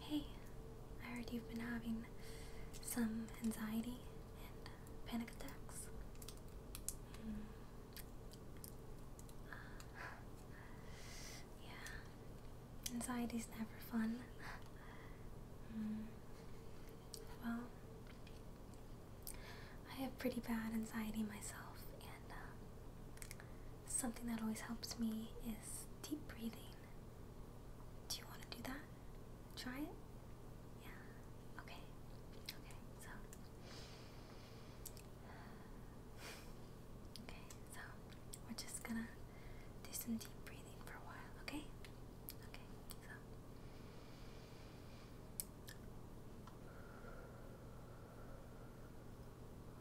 Hey, I heard you've been having some anxiety and panic attacks. Mm. Uh, yeah, anxiety's never fun. Hmm. Well, I have pretty bad anxiety myself, and uh, Something that always helps me is deep breathing. Do you want to do that? Try it? Yeah. Okay. Okay, so. Okay, so we're just gonna do some deep breathing for a while, okay? Okay, so.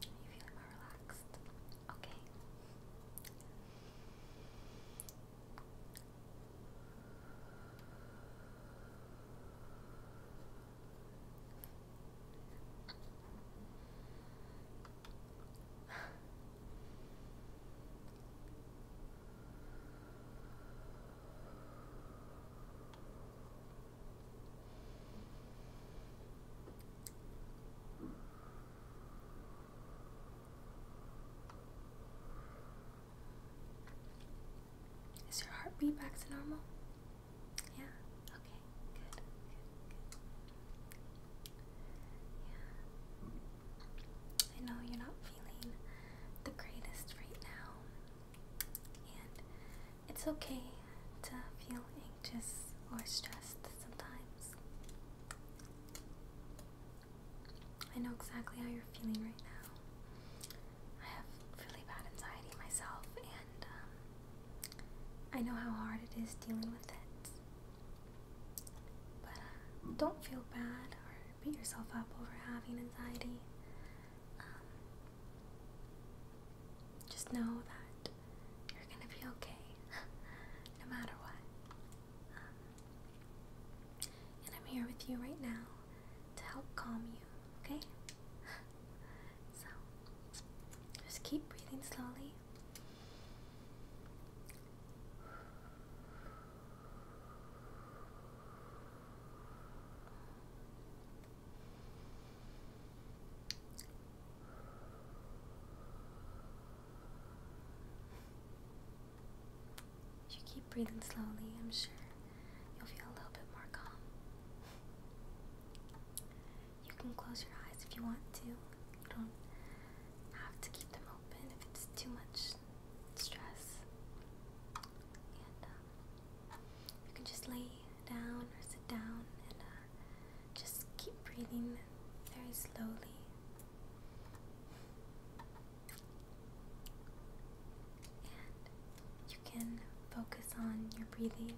There you feeling more relaxed? Okay. Is your heartbeat back to normal? Yeah. Okay. Good. Good. Good. Yeah. I know you're not feeling the greatest right now. And it's okay to feel anxious or stressed sometimes. I know exactly how you're feeling right now. I have really bad anxiety myself, and um, I know how hard it is dealing with it. But uh, don't feel bad or beat yourself up over having anxiety. Um, just know that you're gonna be okay no matter what. Um, and I'm here with you right now to help calm you, okay? so just keep breathing slowly. If you keep breathing slowly, I'm sure you'll feel a little bit more calm. You can close your eyes if you want to. You don't have to keep them open if it's too much stress. Um, you can just lay down or sit down and uh, just keep breathing very slowly. And you can focus on your breathing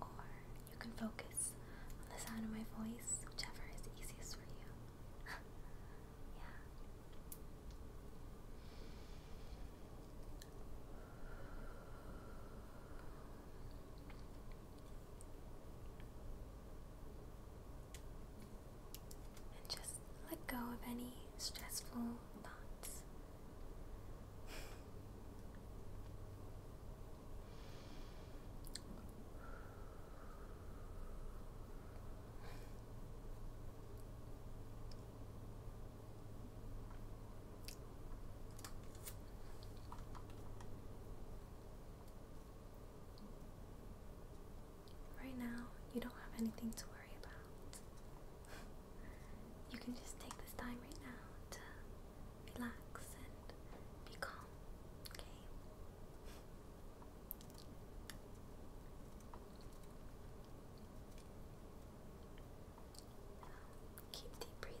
or you can focus on the sound of my voice, whichever is easiest for you. And just let go of any stressful thoughts. Right now, you don't have anything to worry about. you can just take this time right now to relax and be calm, okay? Keep deep breathing.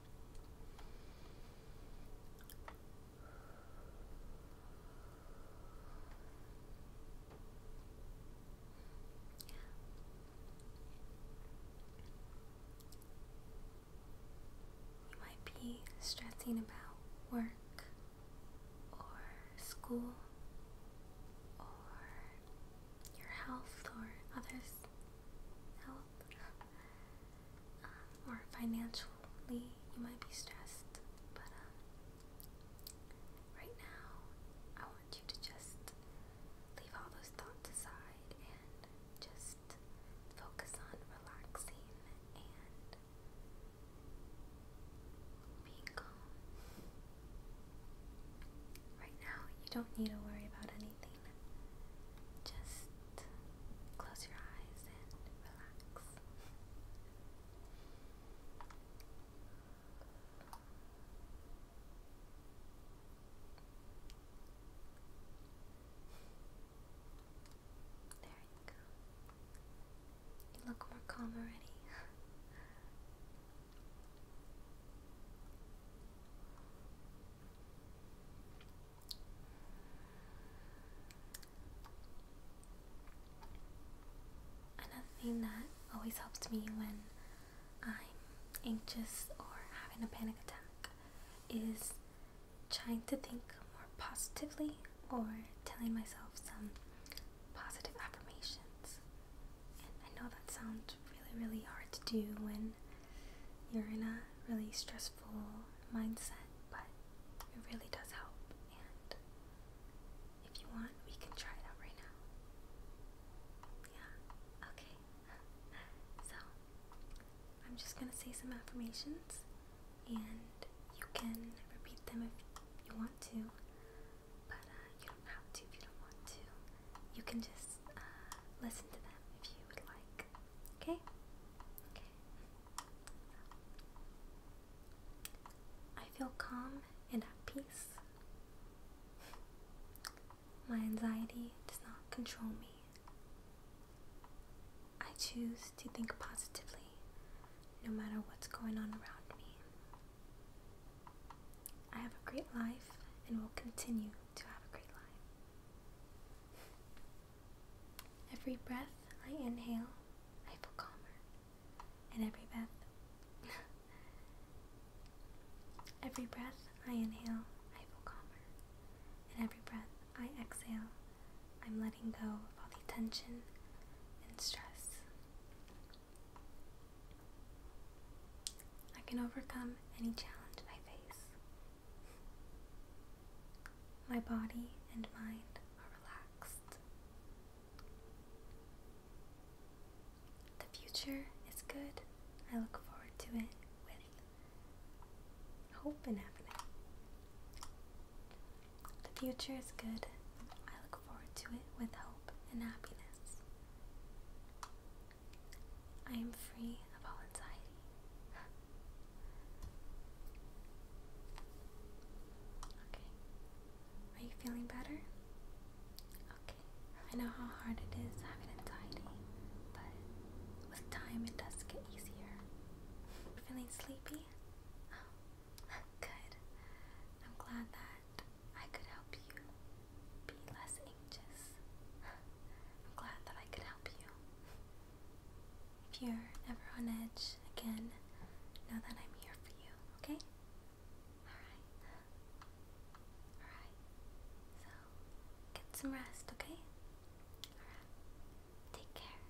You might be stressing about work or school or your health or others' health. Uh, or financially you might be stressed, but um, right now I want you to just leave all those thoughts aside and just focus on relaxing and being calm. Right now, you don't need to worry about anything. Just close your eyes and relax. There you go. You look more calm already. Another thing that always helps me when I'm anxious or having a panic attack is trying to think more positively or telling myself some positive affirmations. I know that sounds really, really hard to do when you're in a really stressful mindset, but it really does help. And if you want, we can try it out right now. Yeah, okay. So, I'm just gonna say some affirmations, and you can repeat them if you want to. But uh, you don't have to if you don't want to. You can just uh, listen to them if you would like. Okay? Okay. I feel calm and at peace. My anxiety does not control me. I choose to think positively no matter what's going on around me. I have a great life and will continue to have a great life. Every breath I inhale, I feel calmer. And every breath, every breath I inhale, I feel calmer. And every breath I exhale, I'm letting go of all the tension and stress. I can overcome any challenge I face. My body and mind are relaxed. The future is good. I look forward to it with hope and happiness. The future is good forward to it with hope and happiness. I am free of all anxiety. okay. Are you feeling better? Okay. I know how hard it is having anxiety, but with time it does get easier. Feeling sleepy? Good. I'm glad that I could help you be less anxious. I'm glad that I could help you. If you're ever on edge again, know that I'm here for you, okay? Alright. Alright. So, get some rest, okay? Alright. Take care.